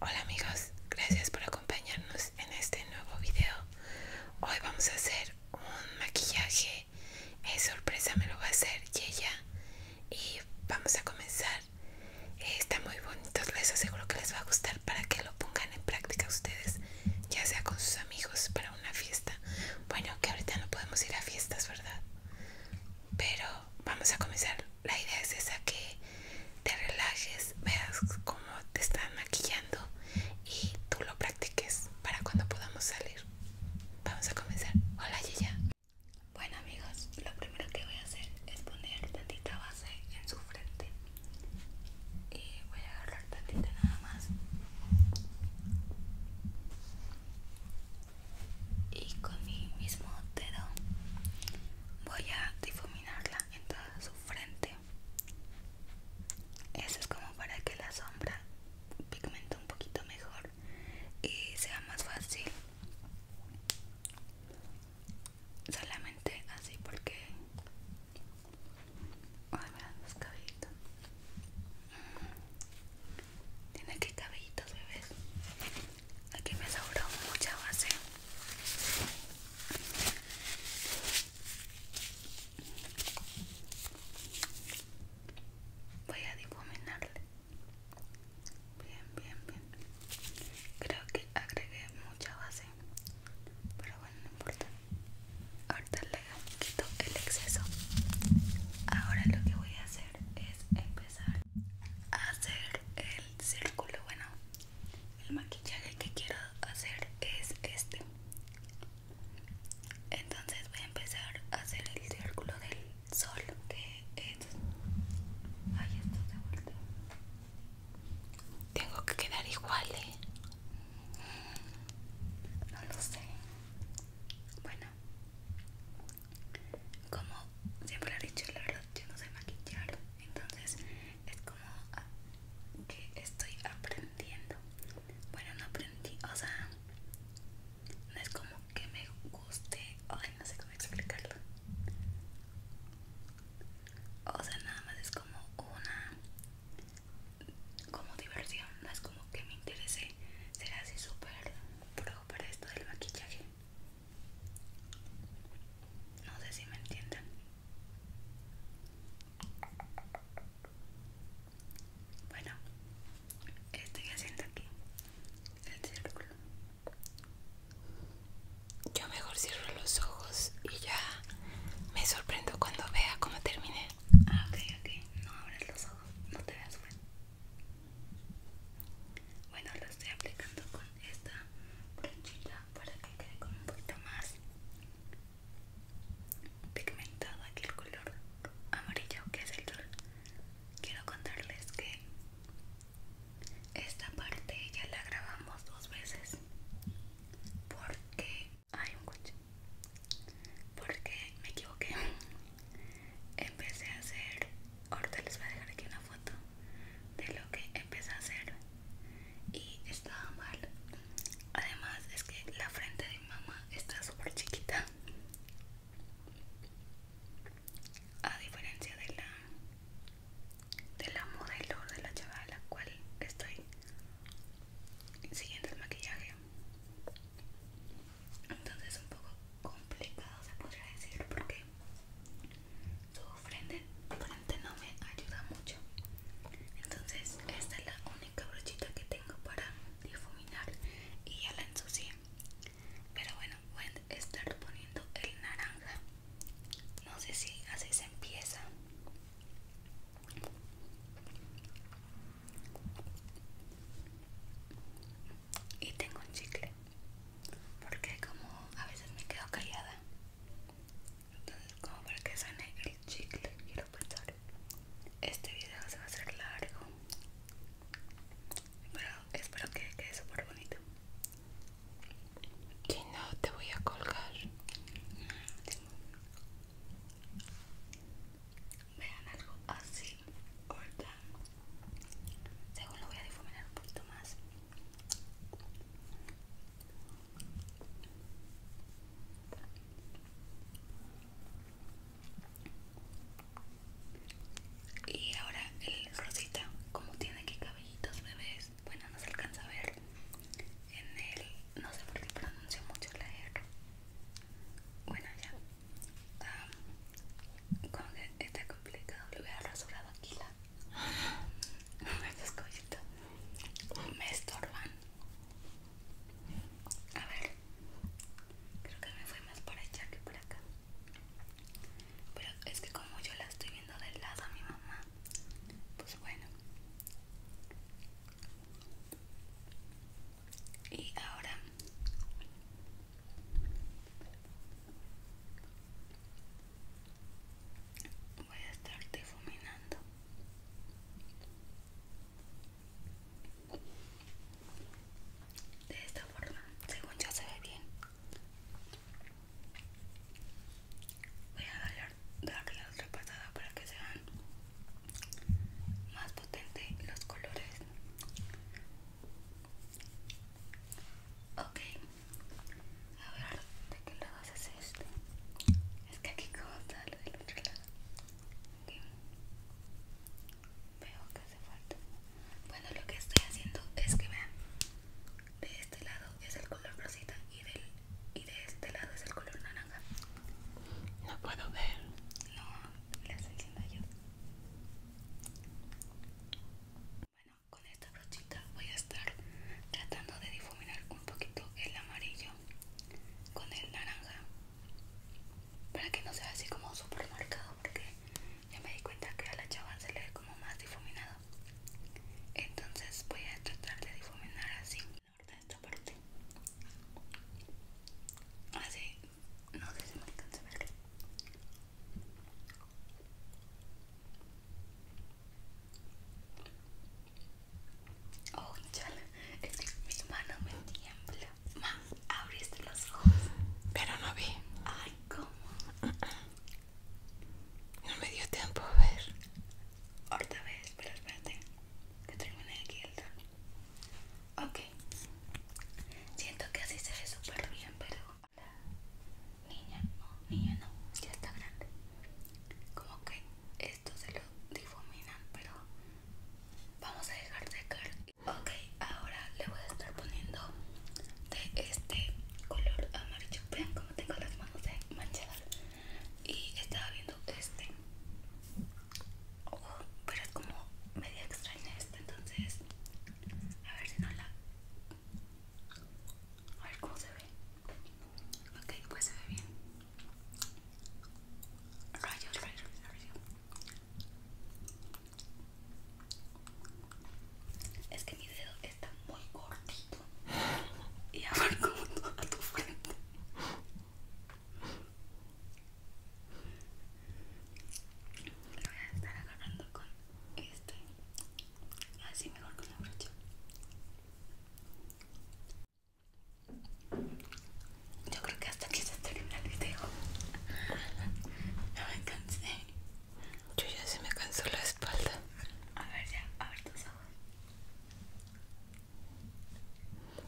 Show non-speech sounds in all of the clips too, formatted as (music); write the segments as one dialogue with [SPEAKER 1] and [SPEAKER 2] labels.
[SPEAKER 1] Hola amigos, gracias por acompañarnos en este nuevo video. Hoy vamos a hacer un maquillaje, sorpresa me lo va a hacer Yella y vamos a comenzar. Eh, está muy bonitos, les aseguro que les va a gustar para que lo pongan en práctica ustedes, ya sea con sus amigos para una fiesta. Bueno, que ahorita no podemos ir a fiestas, ¿verdad? Pero vamos a comenzar. La idea es esa que te relajes, veas cómo te están maquillando y tú lo practiques para cuando podamos salir. Vamos a comenzar. Hola Yaya. Bueno amigos, lo primero que
[SPEAKER 2] voy a hacer es poner tantita base en su frente. Y voy a agarrar tantita nada más. Y con mi mismo dedo voy a difuminarla en toda su frente eso es como para que la sombra pigmente un poquito mejor y sea más fácil solamente así porque los cabellitos mm. tiene que cabellitos bebés Aquí me sobró mucha base. Voy a difuminarle. Bien, bien, bien. Creo que agregué mucha base. Pero bueno, no importa. Ahorita le quito el exceso. Ahora lo que voy a hacer es empezar hacer el círculo bueno el maquillaje que quiero hacer es este entonces voy a empezar a hacer el círculo del sol que es esto se tengo que quedar igual ¿eh? no lo sé bueno como siempre he dicho, la verdad yo no sé maquillar, entonces es como que estoy aprendiendo. Bueno, no aprendí, o sea, no es como que me guste, ay, no sé cómo explicarlo. O sea, nada más es como una como diversión, no es como que me interese ser así súper pro para esto del maquillaje. No sé si me entienden. Bueno, estoy haciendo aquí?
[SPEAKER 1] El círculo. Yo mejor cierro los ojos y ya me sorprendo cuando vea cómo terminé. Ah, ok, ok. No abres los ojos, no te veas, bueno.
[SPEAKER 2] Bueno, lo estoy aplicando con esta brochita para que quede con un poquito más pigmentado aquí el color amarillo que es el sol. Quiero contarles que esta parte ya la grabamos dos veces porque hay un coche porque me equivoqué empecé a hacer ahorita les voy a dejar aquí una foto de lo que empecé a hacer y estaba mal además es que la frente de mi mamá está súper chiquita a diferencia de la
[SPEAKER 1] de la modelo de la chava a la cual estoy siguiendo el maquillaje entonces un poco complicado se podría decir porque su
[SPEAKER 2] frente, frente no me ayuda mucho entonces esta es la única brochita que tengo para difuminar y ya la ensucié pero bueno voy a estar poniendo el naranja no sé si así se empieza y tengo un chicle Porque como a veces me quedo callada Entonces como para que sane el chicle y lo pensar Este video se va a hacer largo
[SPEAKER 1] Pero espero que quede súper bonito y no te voy a colgar mm, vean algo así corta según lo voy a difuminar un poquito más
[SPEAKER 2] y ahora el rosita como tiene aquí cabellitos bebés bueno no se alcanza a ver en el no sé por qué pronuncio mucho la R bueno ya Ah, como que está complicado, le hubiera rasurado aquí la Me (laughs) cositas me estorban a ver creo que me fui más por allá que por acá pero es que como yo la estoy viendo del lado a mi mamá pues bueno y ahora voy a estar difuminando de esta forma según ya se ve bien voy a darle, darle otra pasada para que sean más potentes los colores Ok, a ver, ¿de qué lado haces este? Es que aquí como lo del otro lado.
[SPEAKER 1] Veo que hace falta. Bueno, lo que estoy haciendo es que vean, de este lado es el color rosita y, y de este lado es el color naranja. No puedo ver. No, la estoy yo bueno
[SPEAKER 2] con esta brochita voy a estar tratando de difuminar un poquito el amarillo con el naranja para que no sea así como super marcado porque ya me di cuenta que a la chava se le ve como más difuminado entonces voy a tratar de difuminar así ahora esta parte así ah, no sé si me alcanza a ver
[SPEAKER 1] oh chala es que mi mano me tiembla ma abriste los ojos pero no vi ay cómo no me dio tiempo a ver.
[SPEAKER 2] Ahorita ves, pero espérate. Que termine aquí el Ok, siento que así se ve súper bien, pero niña, no, niña no, ya está grande. Como que esto se lo difuminan, pero vamos a dejar caer Ok, ahora le voy a estar poniendo de este color amarillo. Vean como tengo las manos de manchadas. Y estaba viendo este pero es como media extraña esta, entonces a ver si no la... A ver cómo se ve. Ok, pues se ve bien. Rayos, rayos, rayos. Es que mi dedo está muy cortito y abarco (laughs) a tu frente voy a estar agarrando con este. Así mejor con la brocha.
[SPEAKER 1] Yo creo que hasta aquí se termina el video. No me cansé. Yo ya se me cansó la espalda. A ver ya, a ver tus ojos.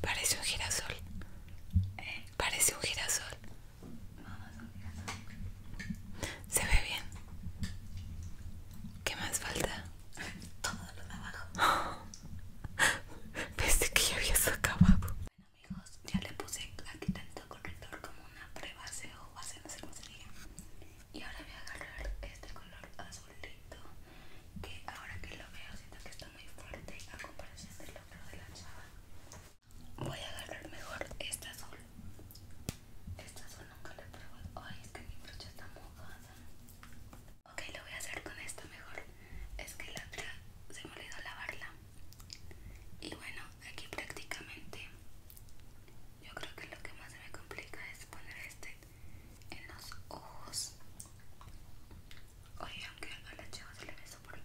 [SPEAKER 1] Parece un girasol. ¿Eh? Parece un girasol. no a un girasol. Se ve bien. ¿Qué más falta? Todo lo de abajo. (laughs) Pensé que ya había acabado. Bueno amigos, ya le puse aquí tanto corrector como una prebase o base, de sé
[SPEAKER 2] Y ahora voy a agarrar este color azul que ahora que lo veo siento que está muy fuerte a comparación del otro de la chava voy a agarrar mejor este azul este azul nunca lo he probado ay es que mi brocha está mojada ok lo voy a hacer con esta mejor es que la otra se me olvidó lavarla y bueno aquí prácticamente yo creo que lo que más se me complica es poner este en los ojos. oye aunque a las chava se le besó por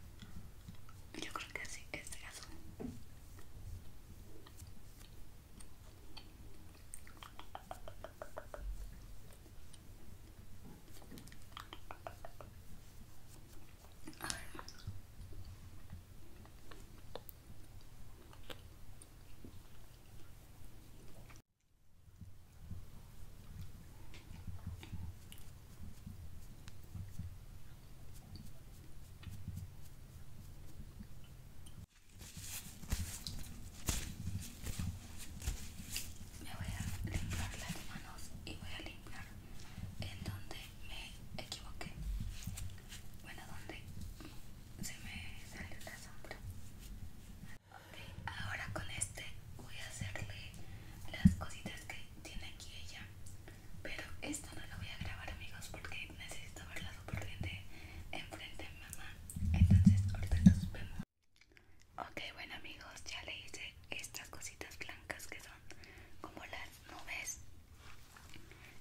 [SPEAKER 2] Yo creo que así es este el caso. Me voy a limpiar las manos y voy a limpiar en donde me equivoqué. Bueno, donde se me salió la sombra. Ok, ahora con este voy a hacerle las cositas que tiene aquí ella. Pero esto no lo voy a grabar amigos porque necesito verla súper bien de enfrente mamá. Entonces ahorita nos vemos. Ok, bueno amigos, ya le hice estas cositas blancas que son como las nubes.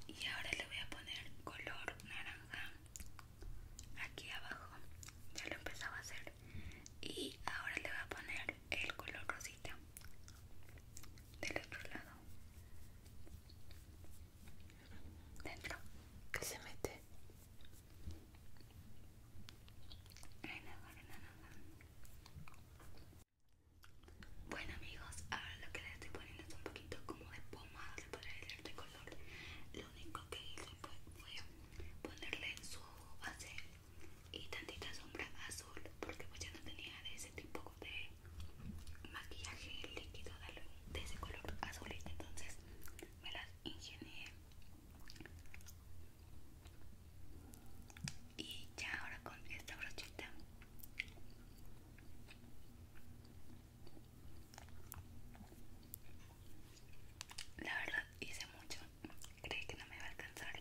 [SPEAKER 2] Y ahora le voy a poner color naranja aquí abajo ya lo empezaba a hacer y ahora le voy a poner el color rosito del otro lado dentro que se mete bueno amigos ahora lo que le estoy poniendo es un poquito como de pomada se podría decir color lo único que hice fue, ponerle su base y tantita sombra azul, porque pues ya no tenía de ese tipo de maquillaje líquido de ese color azul, entonces me las ingenié. Y ya ahora con esta brochita la verdad hice mucho, creí que no me iba a alcanzar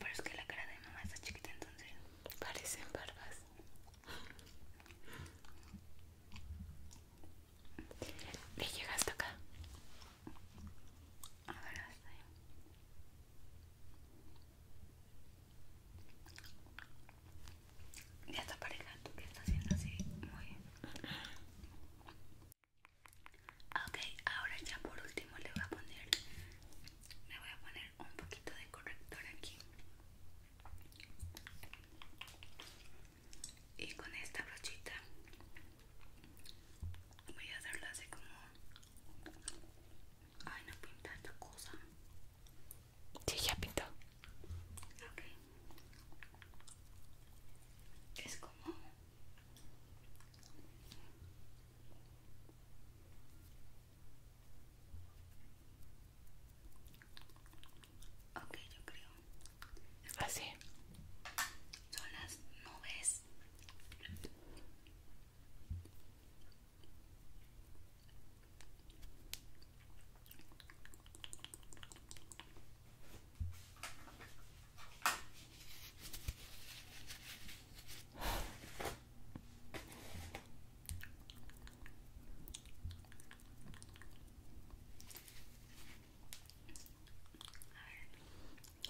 [SPEAKER 1] Pero es que la cara de mi mamá está chiquita entonces Parecen barbas ¿Le llega hasta acá? A ya está pareja, que está haciendo así, muy bien.
[SPEAKER 2] Ok, ahora ya por último le voy a poner, me voy a poner un poquito de corrector aquí. Y con esta brochita voy a hacerlo así como Ay, no pinta cosa. Sí, ya pintó. Ok. Es como... Ok, yo creo. Es Así. Son las nubes.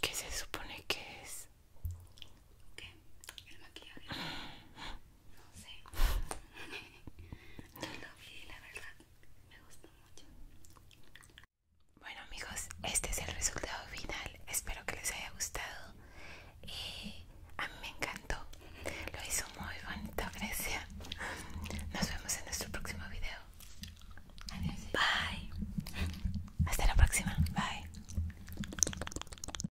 [SPEAKER 1] ¿Qué se supone que es? ¿Qué? El maquillaje. No sé. (laughs) No lo vi la verdad me gustó mucho. Bueno amigos, este es el resultado final. Espero que les haya gustado. Y eh, a mí me encantó. Lo hizo muy bonito, Grecia. Nos vemos en nuestro próximo video. Adiós. Bye. Hasta la próxima. Bye.